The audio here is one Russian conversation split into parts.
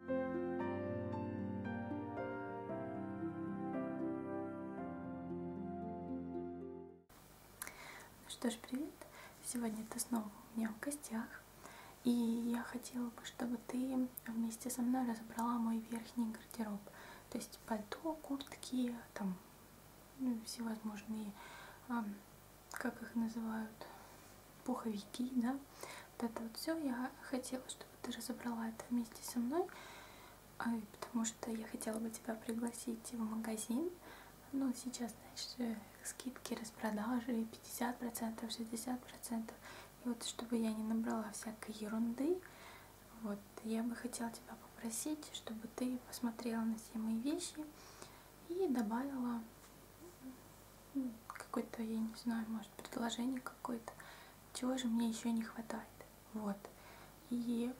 Ну что ж, привет! Сегодня ты снова у меня в гостях. И я хотела бы, чтобы ты вместе со мной разобрала мой верхний гардероб. То есть пальто, куртки, там ну, всевозможные, а, как их называют, пуховики, да, вот это вот все. Я хотела, чтобы ты разобрала это вместе со мной, э, потому что я хотела бы тебя пригласить в магазин. Ну, сейчас, значит, э, скидки, распродажи 50%, 60%. И вот, чтобы я не набрала всякой ерунды, вот, я бы хотела тебя попросить, чтобы ты посмотрела на все мои вещи и добавила какой-то, я не знаю, может, предложение какое-то, чего же мне еще не хватает. Вот. И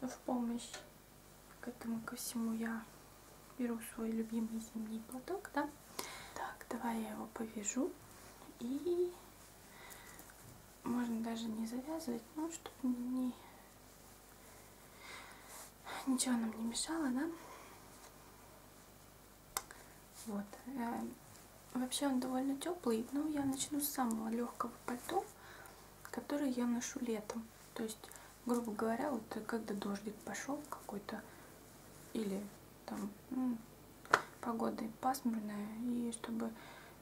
в помощь к этому ко всему я беру свой любимый зимний платок, да? Так, давай я его повяжу. И можно даже не завязывать, ну, чтобы не... ничего нам не мешало, да? Вот. Э, вообще он довольно теплый, но я начну с самого легкого пальто, которое я ношу летом. То есть, грубо говоря, вот когда дождик пошел какой-то, или там ну, погода пасмурная, и чтобы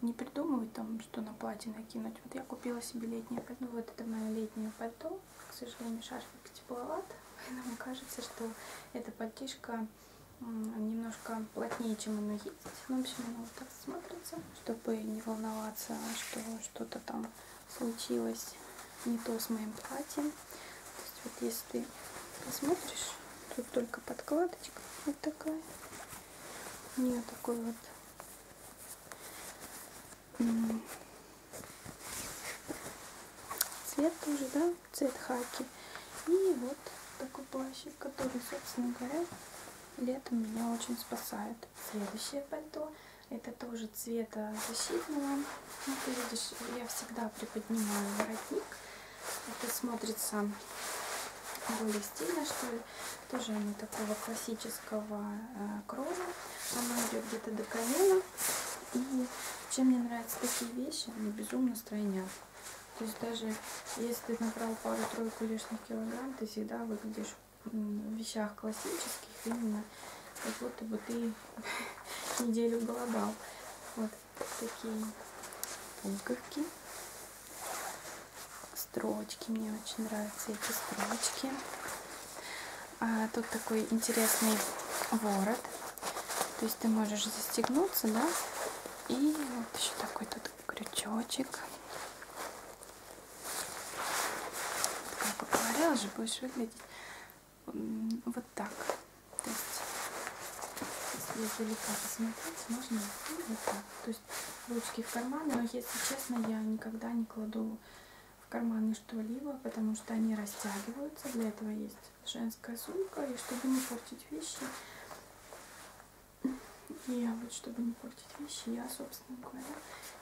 не придумывать там, что на платье накинуть. Вот я купила себе летнее пальто. Вот это мое летнее пальто. К сожалению, шарфик тепловат, поэтому кажется, что эта пальтишка немножко плотнее, чем оно есть. Ну, в общем, оно ну, вот так смотрится, чтобы не волноваться, что что-то там случилось не то с моим платьем. То есть вот если ты посмотришь, тут только подкладочка вот такая. У нее такой вот Цвет тоже, да, цвет хаки. И вот такой плащик, который, собственно говоря, летом меня очень спасает. Следующее пальто. Это тоже цвета защитного. Ну, ты видишь, я всегда приподнимаю воротник. Это смотрится более стильно, что ли. Тоже оно такого классического э, кроя. Оно идет где-то до колена. И чем мне нравятся такие вещи, они безумно стройнят. То есть даже если ты набрал пару-тройку лишних килограмм, ты всегда выглядишь в вещах классических именно как будто бы ты неделю голодал. Вот такие пуговки. Строчки. Мне очень нравятся эти строчки. А, тут такой интересный ворот то есть ты можешь застегнуться, да? И вот еще такой тут крючочек. Как я говорила же, будешь выглядеть вот так. То есть, если далеко посмотреть, можно вот так. То есть ручки в карманы, но если честно, я никогда не кладу в карманы что-либо, потому что они растягиваются. Для этого есть женская сумка, и чтобы не портить вещи, и вот чтобы не портить вещи, я, собственно говоря,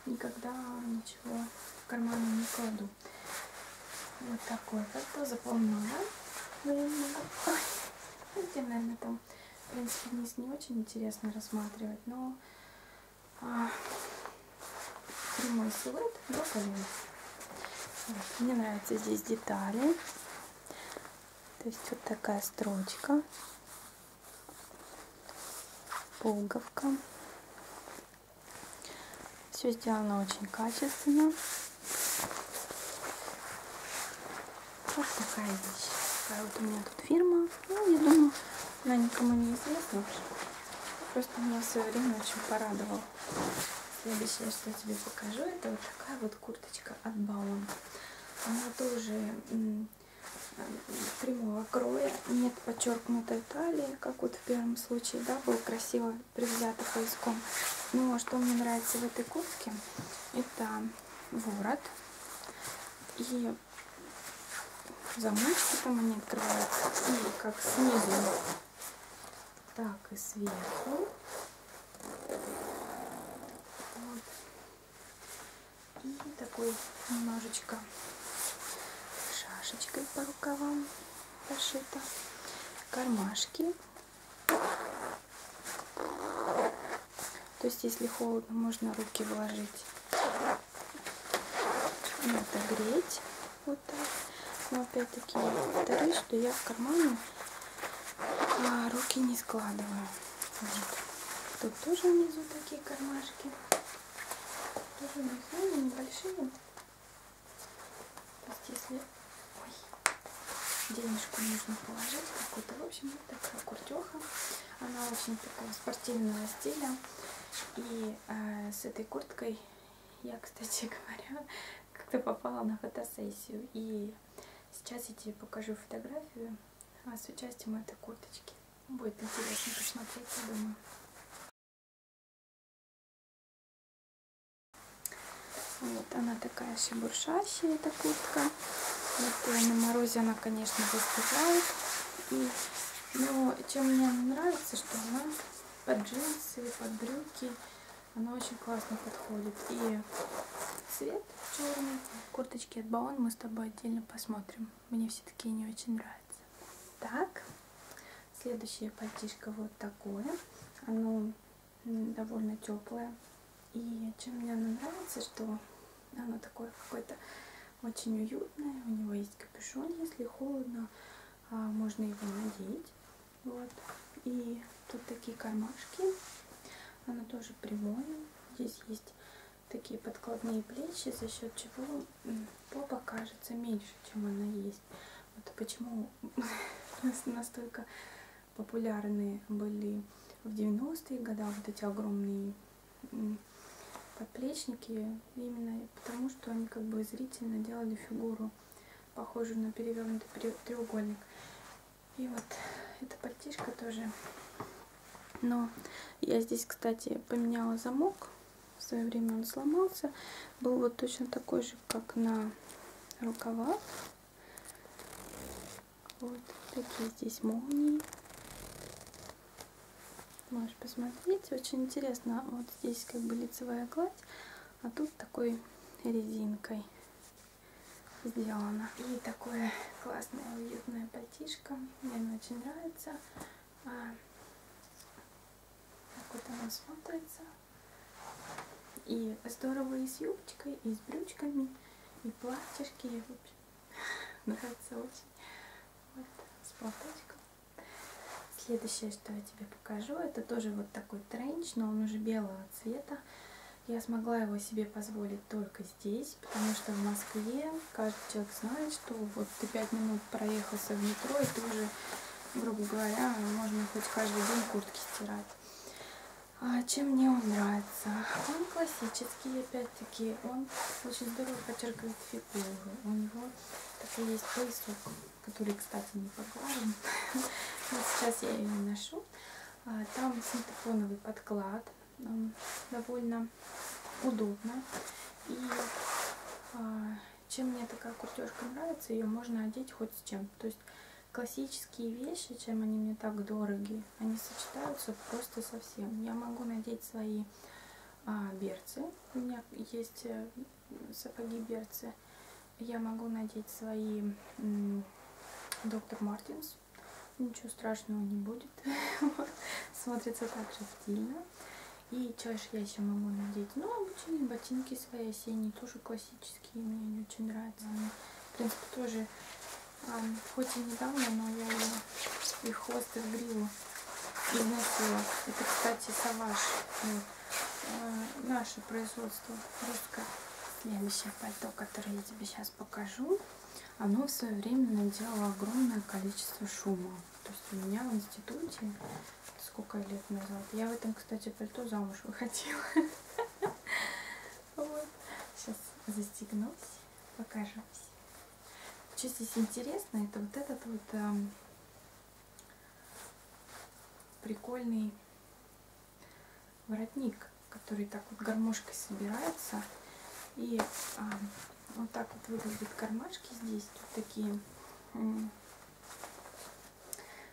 никогда ничего в карманы не кладу. Вот такой вот, заполняла временно. Ну, Видите, наверное, там, в принципе, вниз не очень интересно рассматривать, но а, прямой силуэт до колен. Вот. Мне нравятся здесь детали. То есть вот такая строчка, пуговка. Все сделано очень качественно. Вот такая вещь. Такая вот у меня тут фирма. Ну, я думаю, она никому не известна. Просто меня в свое время очень порадовала. Следующее, что я тебе покажу, это вот такая вот курточка от Баун. Она тоже прямого кроя, нет подчеркнутой талии, как вот в первом случае, да, был красиво привзято пояском. Но ну, а что мне нравится в этой куртке, это ворот и замочки там они открываются, и как снизу так и сверху. Вот. И такой немножечко шашечкой по рукавам пошито. Кармашки. То есть, если холодно, можно руки вложить. Надо греть. Вот хватает. Но опять-таки я повторюсь, что я в кармане а, руки не складываю. Вот. Тут тоже внизу такие кармашки. Тоже внизу небольшие. То есть если Ой. денежку нужно положить какую-то. В общем, вот такая куртеха. Она очень такая спортивного стиля. И э, с этой курткой я, кстати говоря, как-то попала на фотосессию. И сейчас я тебе покажу фотографию а с участием этой курточки. Будет интересно посмотреть, я думаю. Вот она такая шебуршащая, эта куртка. Вот на морозе она, конечно, выступает. И, но чем мне нравится, что она под джинсы, под брюки. Она очень классно подходит. И цвет черный. Курточки от Баон мы с тобой отдельно посмотрим. Мне все такие не очень нравятся. Так, следующее пальтишко вот такое. Оно довольно теплое. И чем мне оно нравится, что оно такое какое-то очень уютное. У него есть капюшон, если холодно. А, можно его надеть. Вот. И тут такие кармашки. Оно тоже прямое. Здесь есть такие подкладные плечи, за счет чего попа кажется меньше, чем она есть. Вот почему настолько популярны были в 90-е годы вот эти огромные подплечники именно потому, что они как бы зрительно делали фигуру, похожую на перевернутый треугольник. И вот эта пальтишка тоже. Но я здесь, кстати, поменяла замок. В свое время он сломался. Был вот точно такой же, как на рукавах. Вот такие здесь молнии можешь посмотреть. Очень интересно, вот здесь как бы лицевая гладь, а тут такой резинкой сделано. И такое классное уютное пальтишко, мне оно очень нравится. А, так вот оно смотрится. И здорово и с юбочкой, и с брючками, и платьишки, и в общем, нравится очень. Вот, с платочком. Следующее, что я тебе покажу, это тоже вот такой тренч, но он уже белого цвета. Я смогла его себе позволить только здесь, потому что в Москве каждый человек знает, что вот ты пять минут проехался в метро, и ты уже, грубо говоря, можно хоть каждый день куртки стирать. А чем мне он нравится? Он классический, опять-таки, он очень здорово подчеркивает фигуру. У него такой есть поясок который, кстати, не поглажен. Сейчас я ее не ношу. А, там синтепоновый подклад, довольно удобно. И а, чем мне такая куртежка нравится, ее можно одеть хоть с чем. То есть классические вещи, чем они мне так дороги, они сочетаются просто совсем. Я могу надеть свои а, берцы. У меня есть э, сапоги берцы я могу надеть свои доктор Мартинс. Ничего страшного не будет. Смотрится так же стильно. И чаще я еще могу надеть. Ну, обычные ботинки свои осенние, тоже классические, мне они очень нравятся. Они, в принципе, тоже, а, хоть и недавно, но я ее, их хвост и в гриву приносила. Это, кстати, саваш. Ну, э, наше производство русское. Следующее пальто, которое я тебе сейчас покажу, оно в свое время наделало огромное количество шума. То есть у меня в институте, сколько лет назад, я в этом, кстати, пальто замуж выходила. Сейчас застегнусь, покажу. Что здесь интересно, это вот этот вот эм, прикольный воротник, который так вот гармошкой собирается. И а, вот так вот выглядят кармашки здесь. Тут такие,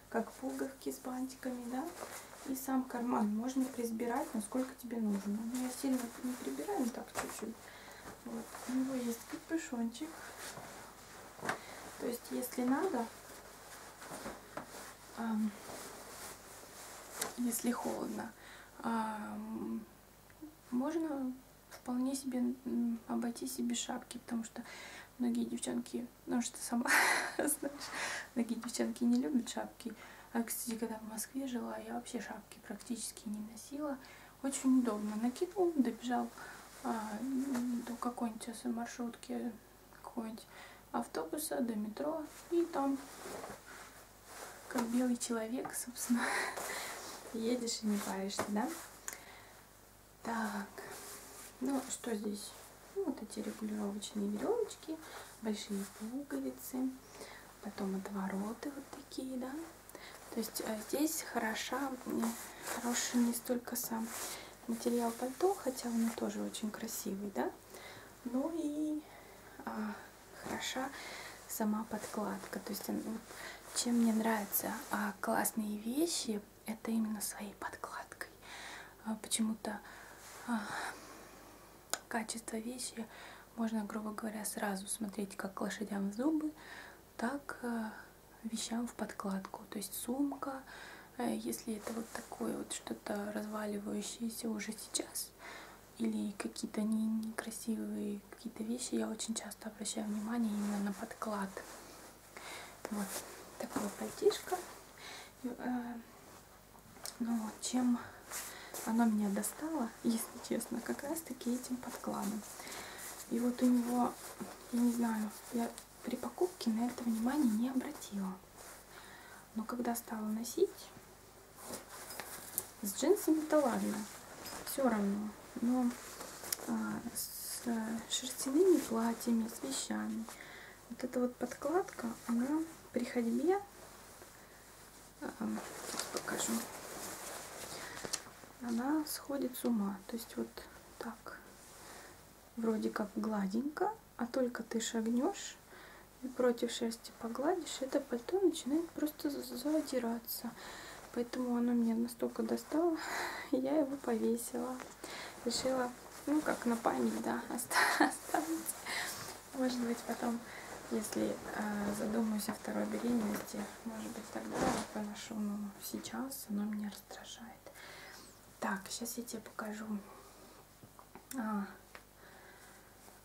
как пуговки с бантиками, да. И сам карман можно прибирать, насколько тебе нужно. Но я сильно не прибираю, так чуть-чуть. Вот. У него есть капюшончик. То есть, если надо, эм, если холодно, эм, можно вполне себе обойтись и без шапки, потому что многие девчонки, ну что сама знаешь, многие девчонки не любят шапки. А, кстати, когда в Москве жила, я вообще шапки практически не носила. Очень удобно. Накинул, добежал а, до какой-нибудь маршрутки, какой-нибудь автобуса, до метро. И там, как белый человек, собственно, едешь и не паришься, да? Так, ну что здесь? Ну, вот эти регулировочные веревочки, большие пуговицы, потом отвороты вот такие, да? То есть а, здесь хороша, хороший не столько сам материал пальто, хотя он тоже очень красивый, да, но ну и а, хороша сама подкладка. То есть ну, чем мне нравятся а, классные вещи, это именно своей подкладкой. А, Почему-то а, качество вещи можно, грубо говоря, сразу смотреть как лошадям в зубы, так э, вещам в подкладку. То есть сумка, э, если это вот такое вот что-то разваливающееся уже сейчас, или какие-то некрасивые какие-то вещи, я очень часто обращаю внимание именно на подклад. Вот такое пальтишко. Э, Но ну чем оно меня достало, если честно, как раз таки этим подкладом. И вот у него, я не знаю, я при покупке на это внимание не обратила. Но когда стала носить, с джинсами-то ладно, все равно. Но а, с э, шерстяными платьями, с вещами, вот эта вот подкладка, она при ходьбе, а, сейчас покажу, она сходит с ума. То есть вот так, вроде как гладенько, а только ты шагнешь и против шерсти погладишь, это пальто начинает просто задираться. Поэтому оно меня настолько достало, я его повесила. Решила, ну как на память, да, оставить. Может быть потом, если э, задумаюсь о второй беременности, может быть, тогда я поношу, но ну, сейчас оно меня раздражает. Так, сейчас я тебе покажу а,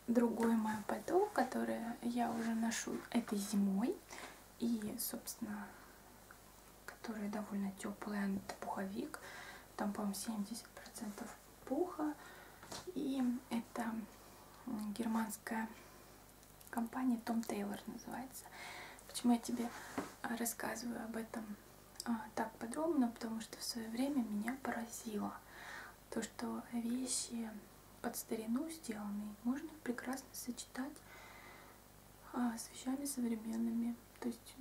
другой мой пальто, которое я уже ношу этой зимой. И, собственно, который довольно теплый, это пуховик. Там, по-моему, 70% пуха. И это германская компания Том Тейлор называется. Почему я тебе а, рассказываю об этом а, так подробно? Потому что в свое время меня поразило то, что вещи под старину сделанные можно прекрасно сочетать а, с вещами современными. То есть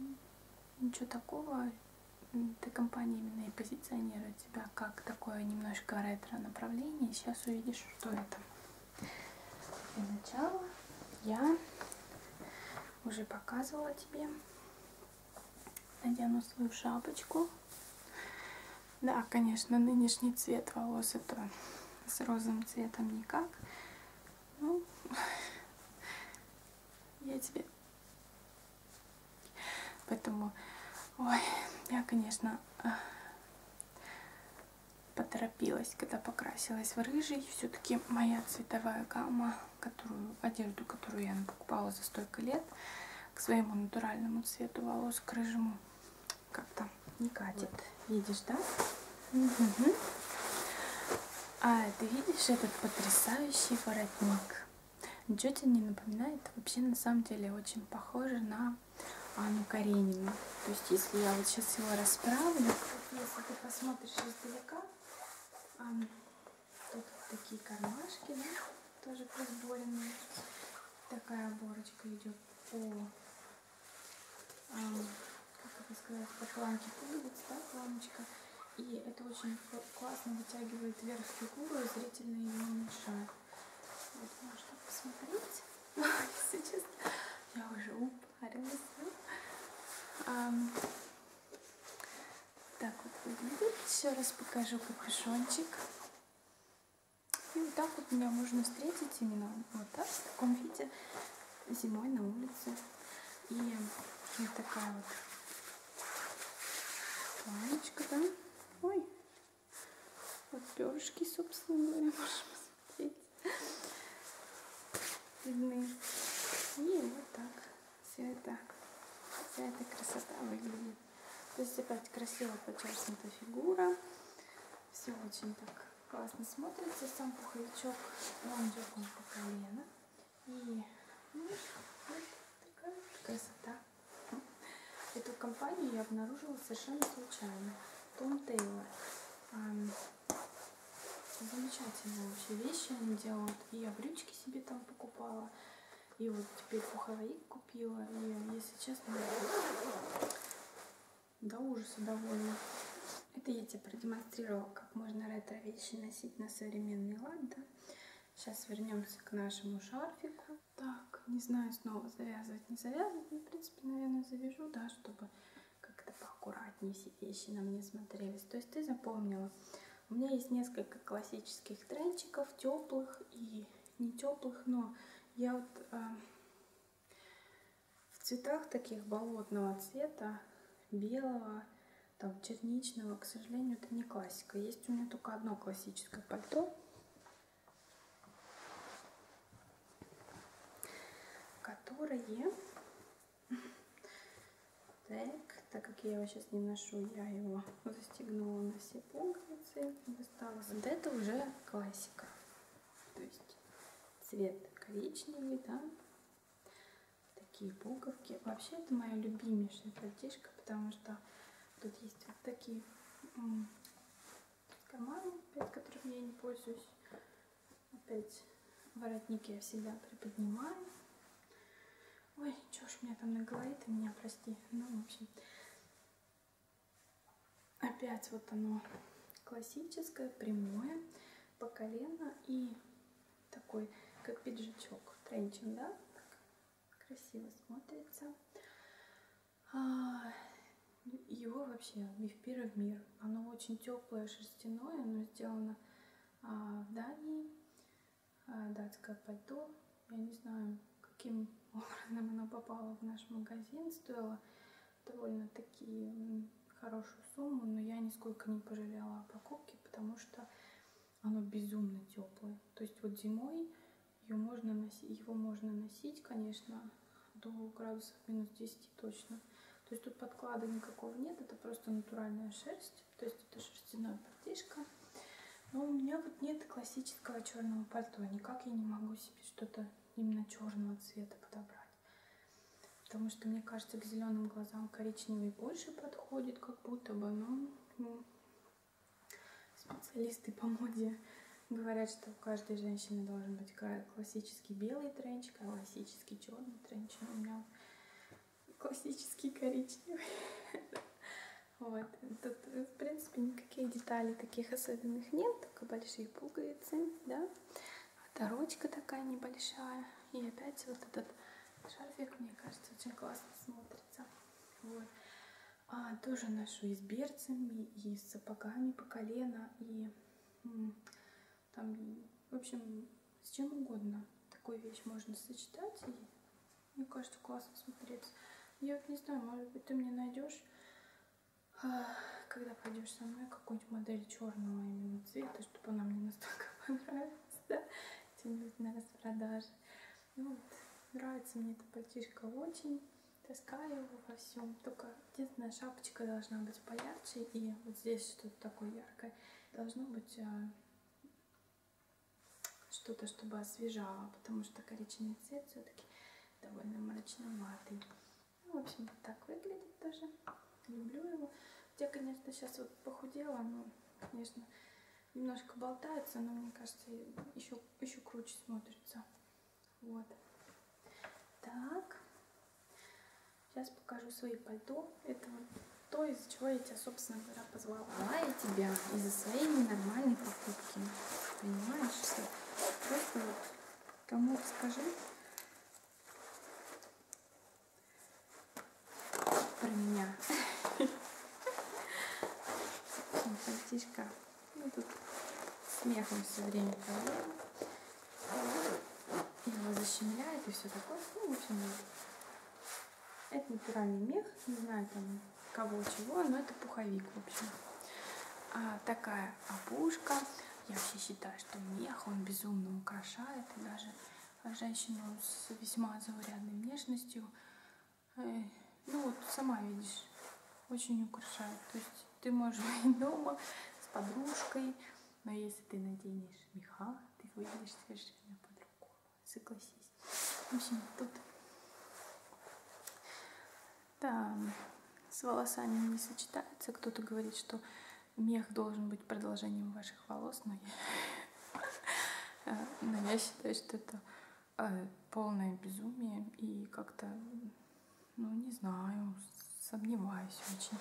ничего такого. Эта компания именно и позиционирует тебя как такое немножко ретро направление. Сейчас увидишь, что это. Для начала я уже показывала тебе. Надену свою шапочку. Да, конечно, нынешний цвет волос это с розовым цветом никак. Ну, я тебе... Поэтому, ой, я, конечно, поторопилась, когда покрасилась в рыжий. Все-таки моя цветовая гамма, которую, одежду, которую я покупала за столько лет, к своему натуральному цвету волос, к рыжему, как-то не катит. Вот. Видишь, да? Угу. А ты видишь этот потрясающий воротник? Ничего тебе не напоминает? Вообще, на самом деле, очень похоже на Анну Каренину. То есть, если я вот сейчас его расправлю, если ты посмотришь издалека, тут такие кармашки, да, тоже просборенные. Такая оборочка идет по, как это сказать, по планке пуговиц, да, планочка. И это очень классно вытягивает вверх фигуру, и зрительно ее уменьшает. Вот можно посмотреть. Если честно, я уже упарилась. А, так вот выглядит. Еще раз покажу капюшончик. И вот так вот меня можно встретить именно вот так, в таком виде, зимой на улице. И вот такая вот планочка, да? Ой, вот перышки, собственно говоря, можем смотреть. Видны. И вот так. Все это, вся эта красота выглядит. То есть опять красиво подчеркнута фигура. Все очень так классно смотрится. Сам пуховичок, он дернут по колено. И ну, вот такая красота. Эту компанию я обнаружила совершенно случайно. Том Тейлор. Замечательные вообще вещи они делают. И я брючки себе там покупала. И вот теперь пуховик купила. И, если честно, до ужаса довольна. Это я тебе продемонстрировала, как можно ретро вещи носить на современный лад. Да? Сейчас вернемся к нашему шарфику так, не знаю, снова завязывать, не завязывать, но, в принципе, наверное, завяжу, да, чтобы как-то поаккуратнее все вещи на мне смотрелись. То есть ты запомнила, у меня есть несколько классических тренчиков, теплых и не теплых, но я вот э, в цветах таких болотного цвета, белого, там, черничного, к сожалению, это не классика. Есть у меня только одно классическое пальто, которые так, так как я его сейчас не ношу, я его застегнула на все пуговицы, достала. Вот это уже классика, то есть цвет коричневый, да, такие пуговки. Вообще это моя любимейшая платьишка, потому что тут есть вот такие карманы, опять которыми я не пользуюсь. Опять воротники я всегда приподнимаю. Ой, чё ж у меня там на голове, ты меня прости. Ну, в общем, опять вот оно классическое, прямое, по колено и такой, как пиджачок, тренчен, да? Так красиво смотрится. А, его вообще Мифпира в мир. Оно очень теплое, шерстяное, оно сделано а, в Дании. А, датское пальто. Я не знаю, каким образом оно попало в наш магазин. Стоило довольно-таки хорошую сумму, но я нисколько не пожалела о покупке, потому что оно безумно теплое. То есть вот зимой ее можно носить, его можно носить, конечно, до градусов минус 10 точно. То есть тут подклада никакого нет, это просто натуральная шерсть, то есть это шерстяная пальтишка. Но у меня вот нет классического черного пальто, никак я не могу себе что-то именно черного цвета подобрать. Потому что, мне кажется, к зеленым глазам коричневый больше подходит, как будто бы, но ну, Специалисты по моде говорят, что у каждой женщины должен быть классический белый тренч, классический черный тренч. Ну, у меня классический коричневый. Вот. Тут, в принципе, никаких деталей таких особенных нет, только большие пуговицы, да. Оторочка а такая небольшая. И опять вот этот шарфик, мне кажется, очень классно смотрится. Вот а, тоже ношу и с берцами, и с сапогами по колено, и там, в общем, с чем угодно такую вещь можно сочетать, и мне кажется, классно смотреться. Я вот не знаю, может быть, ты мне найдешь, а, когда пойдешь со мной, какую-нибудь модель черного именно цвета, чтобы она мне настолько понравилась, да, где-нибудь на распродаже. Ну вот, нравится мне эта пальтишка очень. Таскаю его во всем. Только единственная шапочка должна быть поярче. И вот здесь что-то такое яркое. Должно быть а, что-то, чтобы освежало. Потому что коричневый цвет все-таки довольно мрачноватый. Ну, в общем, вот так выглядит тоже. Люблю его. Я, конечно, сейчас вот похудела, но, конечно, немножко болтается, но мне кажется, еще, еще круче смотрится. Вот. Так. Сейчас покажу свои пальто. Это вот то, из-за чего я тебя, собственно говоря, позвала. Позвала я тебя из-за своей ненормальной покупки. Понимаешь? Просто вот кому скажи про меня. Пальтишка. Мы ну, тут смехом все время проводим. Его защемляет и все такое. Ну, в общем, это натуральный мех. Не знаю там кого чего, но это пуховик, в общем. А, такая опушка. Я вообще считаю, что мех, он безумно украшает. И даже женщину с весьма заурядной внешностью ну вот сама видишь, очень украшает. То есть ты можешь быть дома с подружкой, но если ты наденешь меха, ты выглядишь совершенно по-другому. Согласись. В общем, тут да, с волосами не сочетается. Кто-то говорит, что мех должен быть продолжением ваших волос, но я, э, но я считаю, что это Э, полное безумие и как-то, ну не знаю, сомневаюсь очень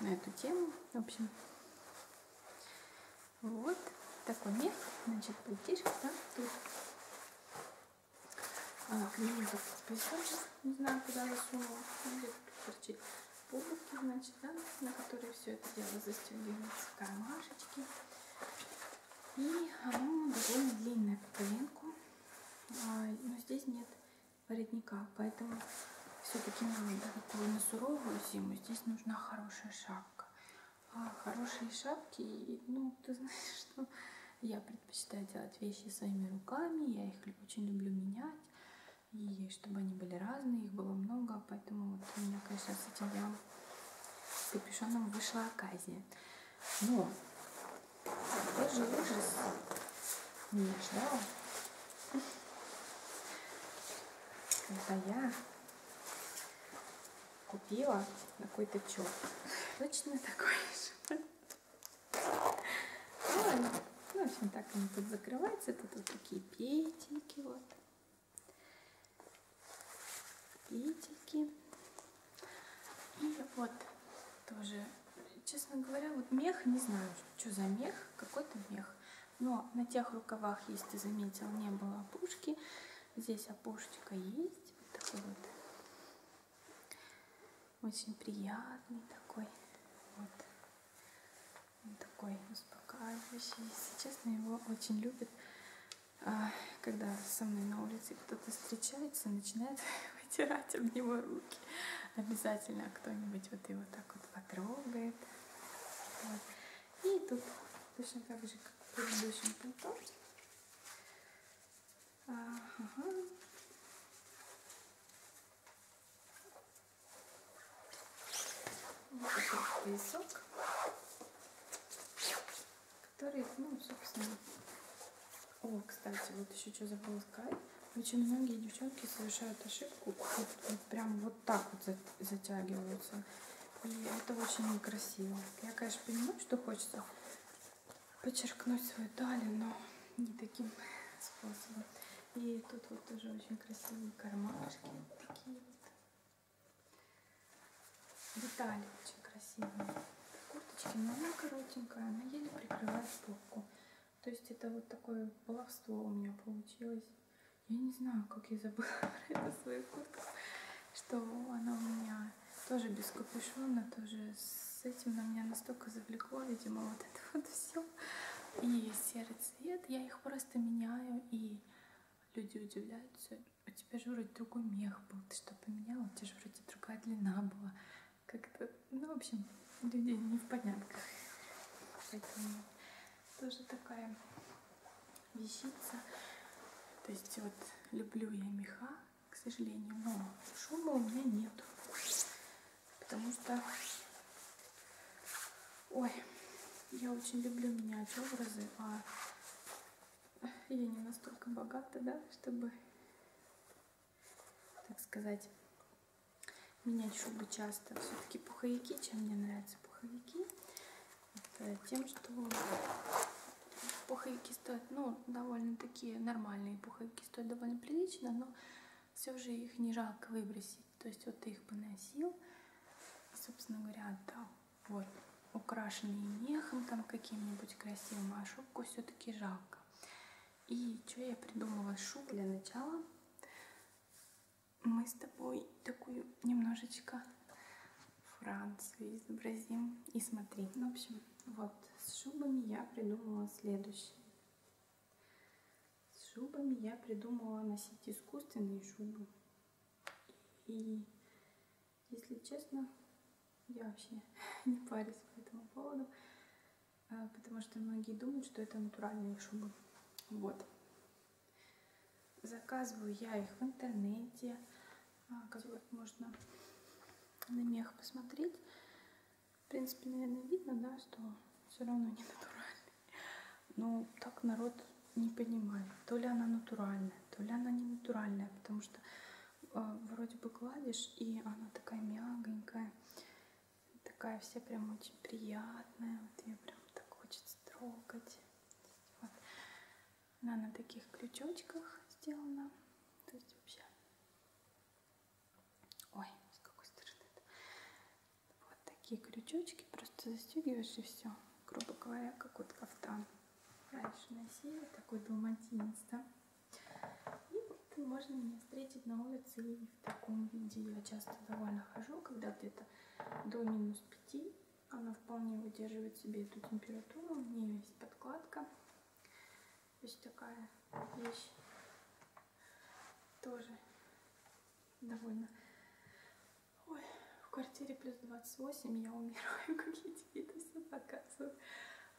на эту тему. В общем, вот такой мир, значит, детишки, да, тут а, к нему как списочек, не знаю, куда засунула, где-то торчит полки, значит, да, на которые все это дело застегивается, кармашечки. И оно довольно длинное по коленку. А, но здесь нет воротника, поэтому все-таки не нужно такую на суровую зиму. Здесь нужна хорошая шапка. А хорошие шапки, ну, ты знаешь, что я предпочитаю делать вещи своими руками. Я их очень люблю менять. И чтобы они были разные, их было много. Поэтому вот у меня, конечно, с этим делом с капюшоном вышла оказия. Но ну, такой же ужас меня ждал, когда я купила какой-то чок. Точно такой же. Ну, в общем, так они тут закрываются. Это тут такие петельки вот. Питики. И вот тоже, честно говоря, вот мех, не знаю, что за мех, какой-то мех. Но на тех рукавах, если ты заметил, не было опушки. Здесь опушечка есть. Вот такой вот. Очень приятный такой. Вот. Он такой успокаивающий. Если честно, его очень любят а, когда со мной на улице кто-то встречается, начинает вытирать об него руки. Обязательно кто-нибудь вот его так вот потрогает. Вот. И тут точно так же, как в предыдущем пальто. А, ага. Вот этот поясок которые, ну, собственно... О, кстати, вот еще что забыла сказать. Очень многие девчонки совершают ошибку, вот, вот прям вот так вот затягиваются. И это очень некрасиво. Я, конечно, понимаю, что хочется подчеркнуть свою талию, но не таким способом. И тут вот тоже очень красивые кармашки такие вот. Детали очень красивые. Курточки, но она коротенькая, она еле прикрывает попку. То есть это вот такое баловство у меня получилось. Я не знаю, как я забыла про эту свою куртку, что она у меня тоже без капюшона, тоже с этим на меня настолько завлекло, видимо, вот это вот все. И серый цвет, я их просто меняю, и люди удивляются, у тебя же вроде другой мех был, ты что поменяла, у тебя же вроде другая длина была. Как-то, ну, в общем, людей не в порядках. Поэтому тоже такая вещица. То есть вот люблю я меха, к сожалению, но шума у меня нету. Потому что, ой, я очень люблю менять образы, а я не настолько богата, да, чтобы, так сказать, менять шубы часто. Все-таки пуховики, чем мне нравятся пуховики, это тем, что пуховики стоят, ну, довольно такие нормальные пуховики стоят довольно прилично, но все же их не жалко выбросить. То есть вот ты их поносил, и, собственно говоря, отдал. Вот, украшенные мехом там каким-нибудь красивым, а шубку все-таки жалко. И что я придумала шуб для начала? Мы с тобой такую немножечко Францию изобразим. И смотри, ну, в общем, вот с шубами я придумала следующее. С шубами я придумала носить искусственные шубы. И если честно, я вообще не парюсь по этому поводу, а, потому что многие думают, что это натуральные шубы. Вот. Заказываю я их в интернете, а, как можно на мех посмотреть. В принципе, наверное, видно, да, что все равно не натуральный. Но ну, так народ не понимаю, то ли она натуральная, то ли она не натуральная, потому что э, вроде бы гладишь, и она такая мягонькая, такая вся прям очень приятная, вот ее прям так хочется трогать. Вот. Она на таких крючочках сделана, то есть вообще... Ой, с какой стороны -то? Вот такие крючочки, просто застегиваешь и все, грубо говоря, как вот кафтан прачечная серия, такой далматинец, да? И вот можно меня встретить на улице и в таком виде. Я часто довольно хожу, когда где-то до минус 5. Она вполне выдерживает себе эту температуру. У нее есть подкладка. То есть такая вещь тоже довольно Ой, в квартире плюс 28, я умираю, как я тебе это все показываю.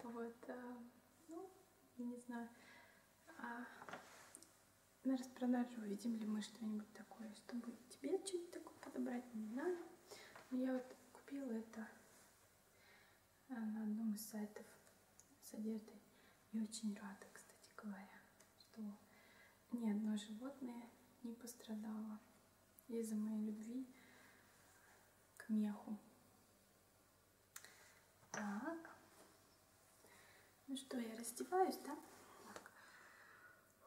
Вот, а, ну, я не знаю. А, на распродаже увидим ли мы что-нибудь такое, чтобы тебе что-нибудь такое подобрать не надо. Но я вот купила это а, на одном из сайтов с одеждой. И очень рада, кстати говоря, что ни одно животное не пострадало из-за моей любви к меху. Так. Ну что, я раздеваюсь, да? Так.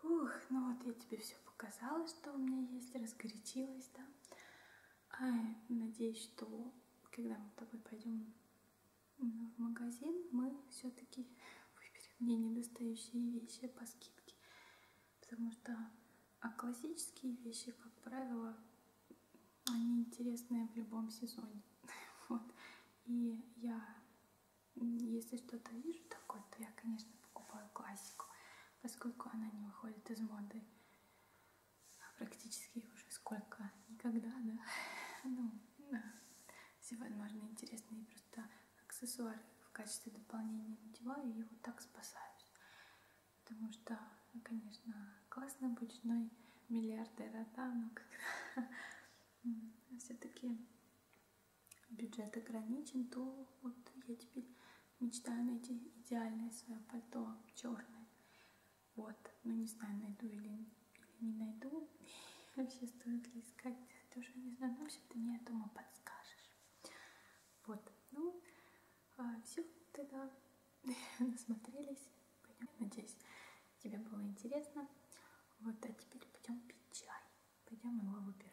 Ух, ну вот я тебе все показала, что у меня есть, разгорячилась, да? А, надеюсь, что когда мы с тобой пойдем в магазин, мы все-таки выберем мне недостающие вещи по скидке вещи. Потому что а классические вещи, как правило, они интересные в любом сезоне. Вот. И я, если что-то вижу такое, то я, конечно, покупаю классику, поскольку она не выходит из моды а практически уже сколько, никогда, да. Ну, да. Все возможные интересные просто аксессуары в качестве дополнения надеваю и вот так спасаюсь. Потому что, ну, конечно, классно быть женой миллиардера, да, но когда все-таки бюджет ограничен, то вот я теперь мечтаю найти идеальное свое пальто черное. Вот, ну не знаю, найду или, или не найду. Вообще стоит ли искать ты уже не знаю, ну, в общем, ты мне, я думаю, подскажешь. Вот, ну, а, все, тогда насмотрелись, пойдем, надеюсь, тебе было интересно. Вот, а теперь пойдем пить чай, пойдем его выбирать.